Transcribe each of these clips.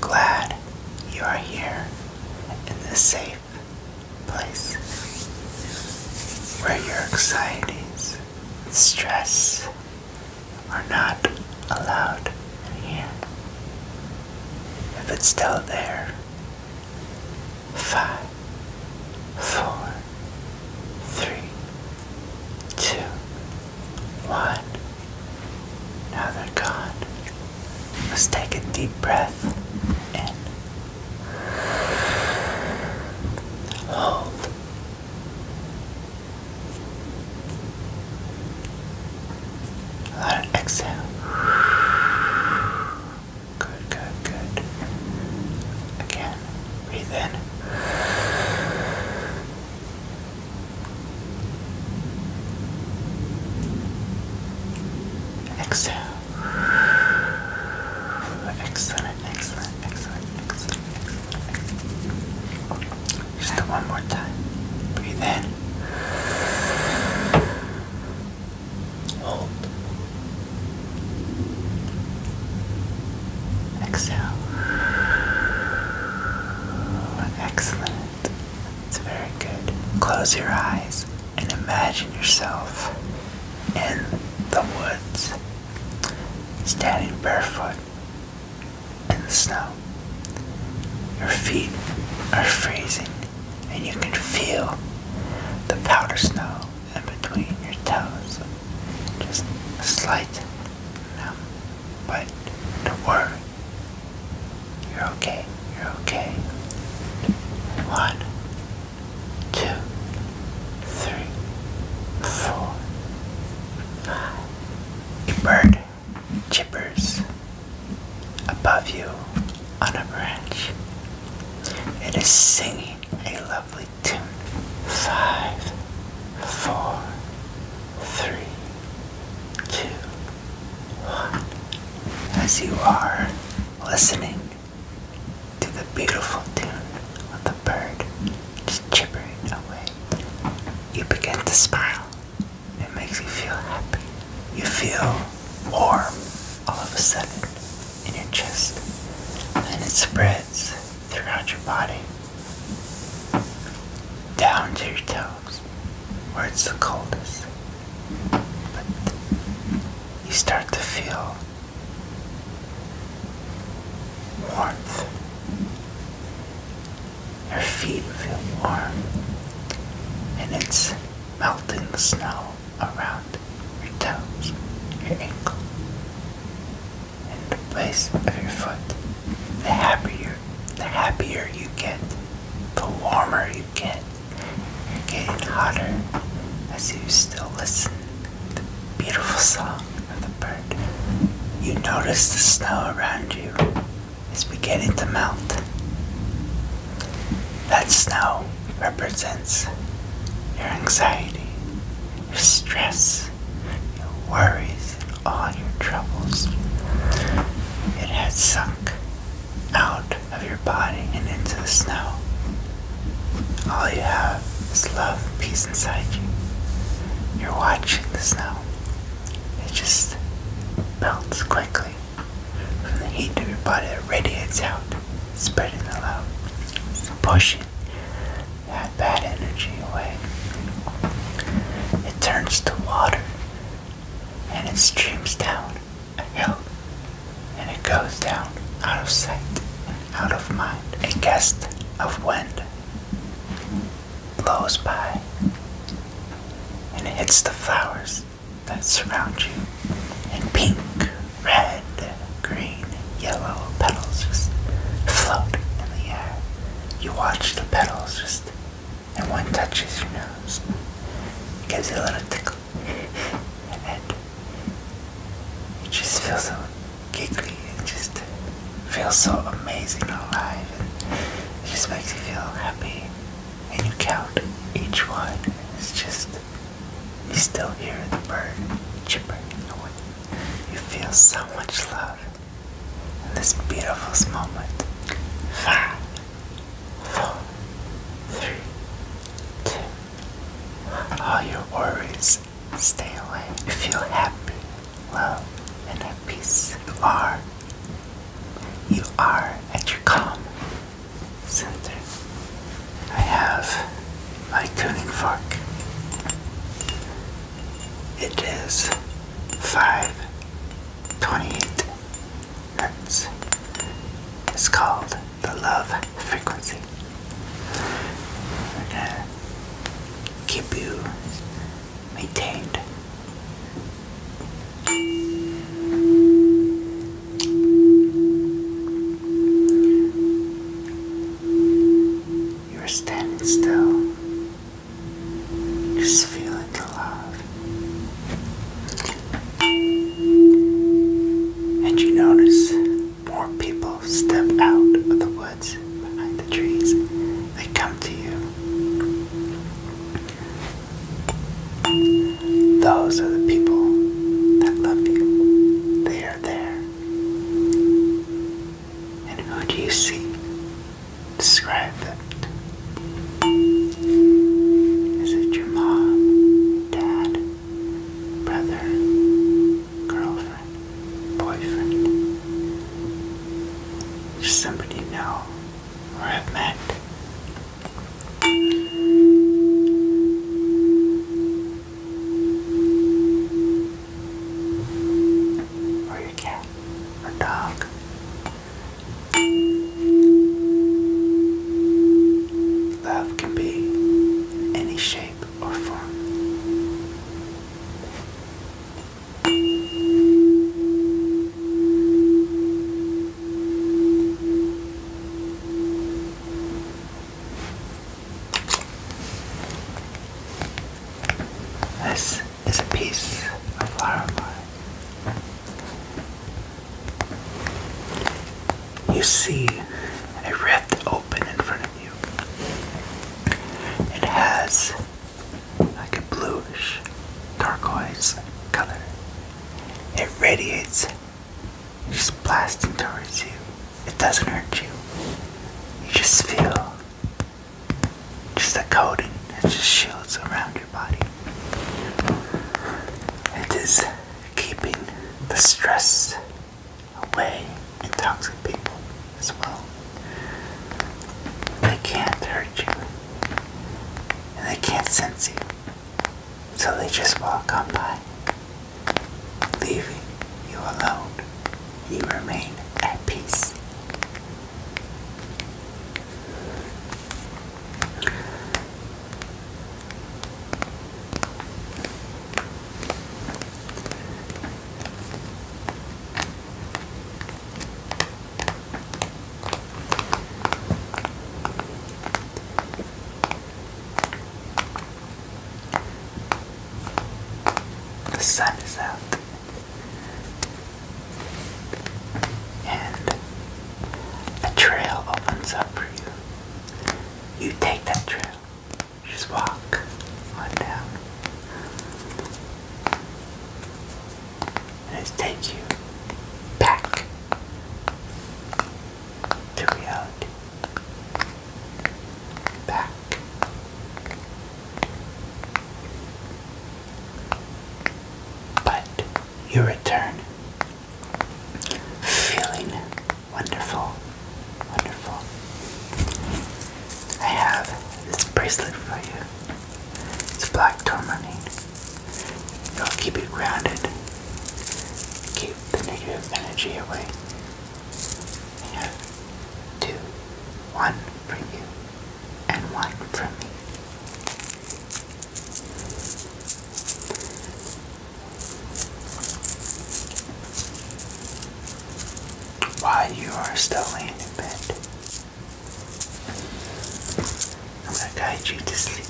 Glad you are here in this safe place where your anxieties stress are not allowed in here. If it's still there, five, four, three, two, one. Now they're gone. Let's take a deep breath in. Hold. Let it exhale. Good, good, good. Again, breathe in. Exhale. Excellent, excellent, excellent, excellent, excellent. Just one more time. Breathe in. Hold. Exhale. Excellent. It's very good. Close your eyes and imagine yourself in the woods, standing barefoot in the snow. Your feet are freezing and you can feel the powder snow in between your toes. Just a slight numb, but don't worry. You're okay. You're okay. One, two, three, four, five. Bird. Chippers above you on a branch. It is singing a lovely tune. Five, four, three, two, one. As you are listening to the beautiful tune of the bird just chipping away, you begin to smile. It makes you feel happy. You feel warm all of a sudden in your chest, and it spreads throughout your body down to your toes where it's the coldest. But you start to feel warmth your feet feel warm, and it's melting snow around your toes, your ankle, and the base of your foot. The happier, the happier you get, the warmer you get. You're getting hotter as you still listen to the beautiful song the bird. You notice the snow around you is beginning to melt. That snow represents your anxiety, your stress, your worries, and all your troubles. It had sunk out of your body and into the snow. All you have is love peace inside you. You're watching the snow. It just melts quickly from the heat of your body that radiates out, spreading the love, pushing that bad energy away. It turns to water and it streams down a hill and it goes down out of sight and out of mind. A gust of wind blows by and hits the flowers that surround you And pink, red, green, yellow petals just float in the air. You watch the petals just and one touches your nose. Gives you a little tickle and it just feel something giggly and just feels so amazing alive it just makes you feel happy and you count each one it's just you still hear the bird chirping you feel so much love in this beautiful moment five four three two all your worries stay away if you're happy, love, and at peace. You are. You are at your calm center. I have my tuning fork. It is 528 hertz. It's called the Love frequency. We're gonna uh, keep you maintained. You are standing still, just feeling the love. And you notice more people step out of the woods behind the trees. They come to you. Those are the people that love you. They are there. And who do you see? Describe them. Is it your mom, dad, brother, girlfriend, boyfriend, somebody you know or have met. Or your cat, or dog. Love can be in any shape or form. This is a piece of flower you see a rift open in front of you. It has like a bluish turquoise color. It radiates just blasting towards you. It doesn't hurt you. You just feel just a coating that just shields around you. It is keeping the stress away and toxic people as well. They can't hurt you. And they can't sense you. So they just walk on by, leaving you alone. You remain at peace. The sun is out and a trail opens up for you. You take that trail, just walk on down, and it takes you back to reality. Back. But your return feeling wonderful, wonderful. I have this bracelet for you. It's black tourmaline. It'll keep it grounded, keep the negative energy away. I for you and one for me. While you are still laying in bed, I'm going to guide you to sleep.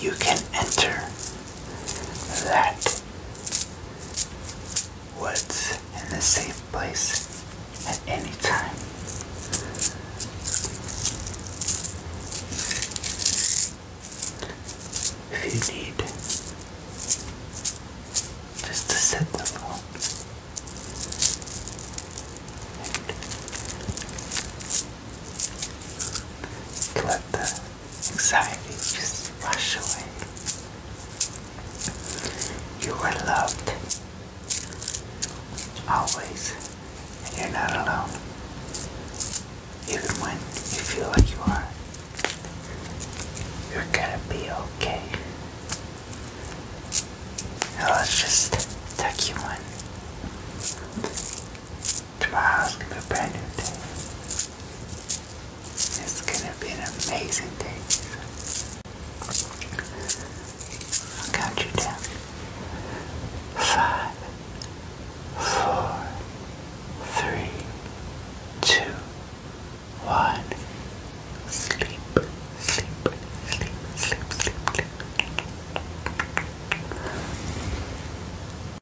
You can enter that woods in a safe place at any time. If you need just to set them the anxiety just wash away. You are loved always, and you're not alone, even when you feel like you are. You're gonna be okay. let's just tuck you in to ask a brand new day. It's gonna be an amazing day. I'll count you down. Five, four, three, two, one. Sleep, sleep, sleep, sleep, sleep, sleep.